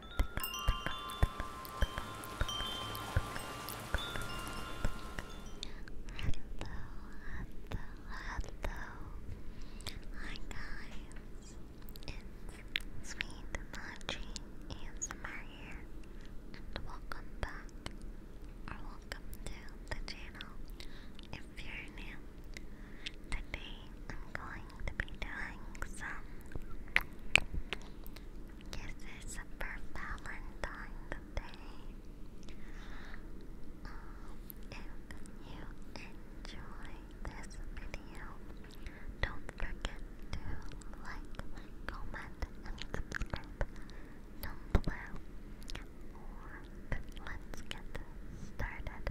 Hi guys, it's Sweet Machi ASMR here, and welcome back, or welcome to the channel if you're new. Today I'm going to be doing some kisses for Valentine's Day. Uh, if you enjoy this video, don't forget to like, comment, and subscribe down below. Or let's get started.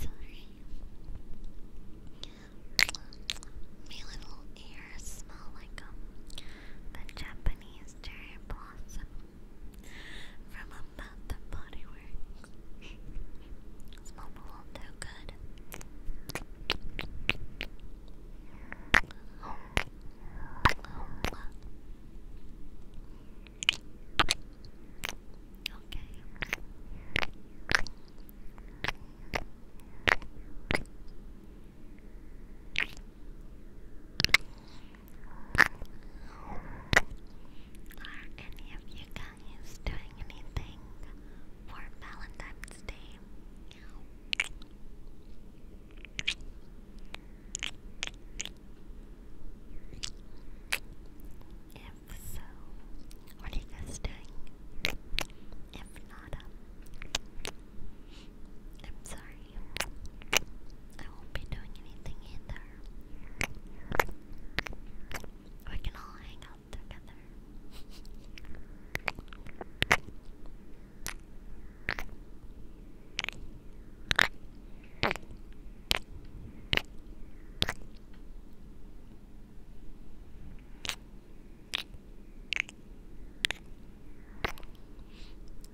Sorry. My little ears smell like um, the Japanese is Cherry Blossom from About the Body Smells a little too good. Okay. Are any of you guys doing anything for Valentine's Day? If so, what are you guys doing? If not, uh, I'm sorry. I won't be doing anything either. We can all hang out together.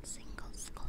Singles Club.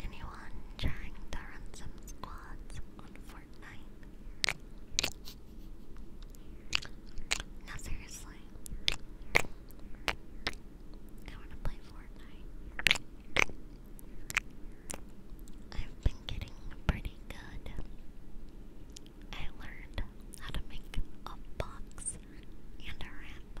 Anyone trying to run some squads on Fortnite? No, seriously. I want to play Fortnite. I've been getting pretty good. I learned how to make a box and a ramp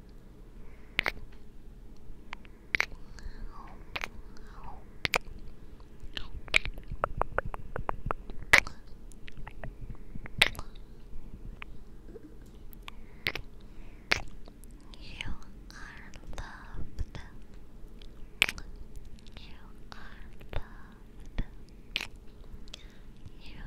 You are loved. You are loved. You are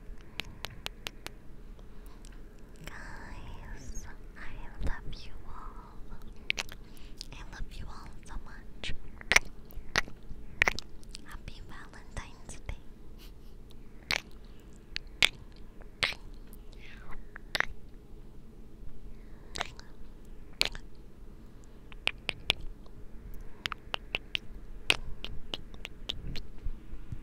Guys, I love you all. I love you all so much. Happy Valentine's Day.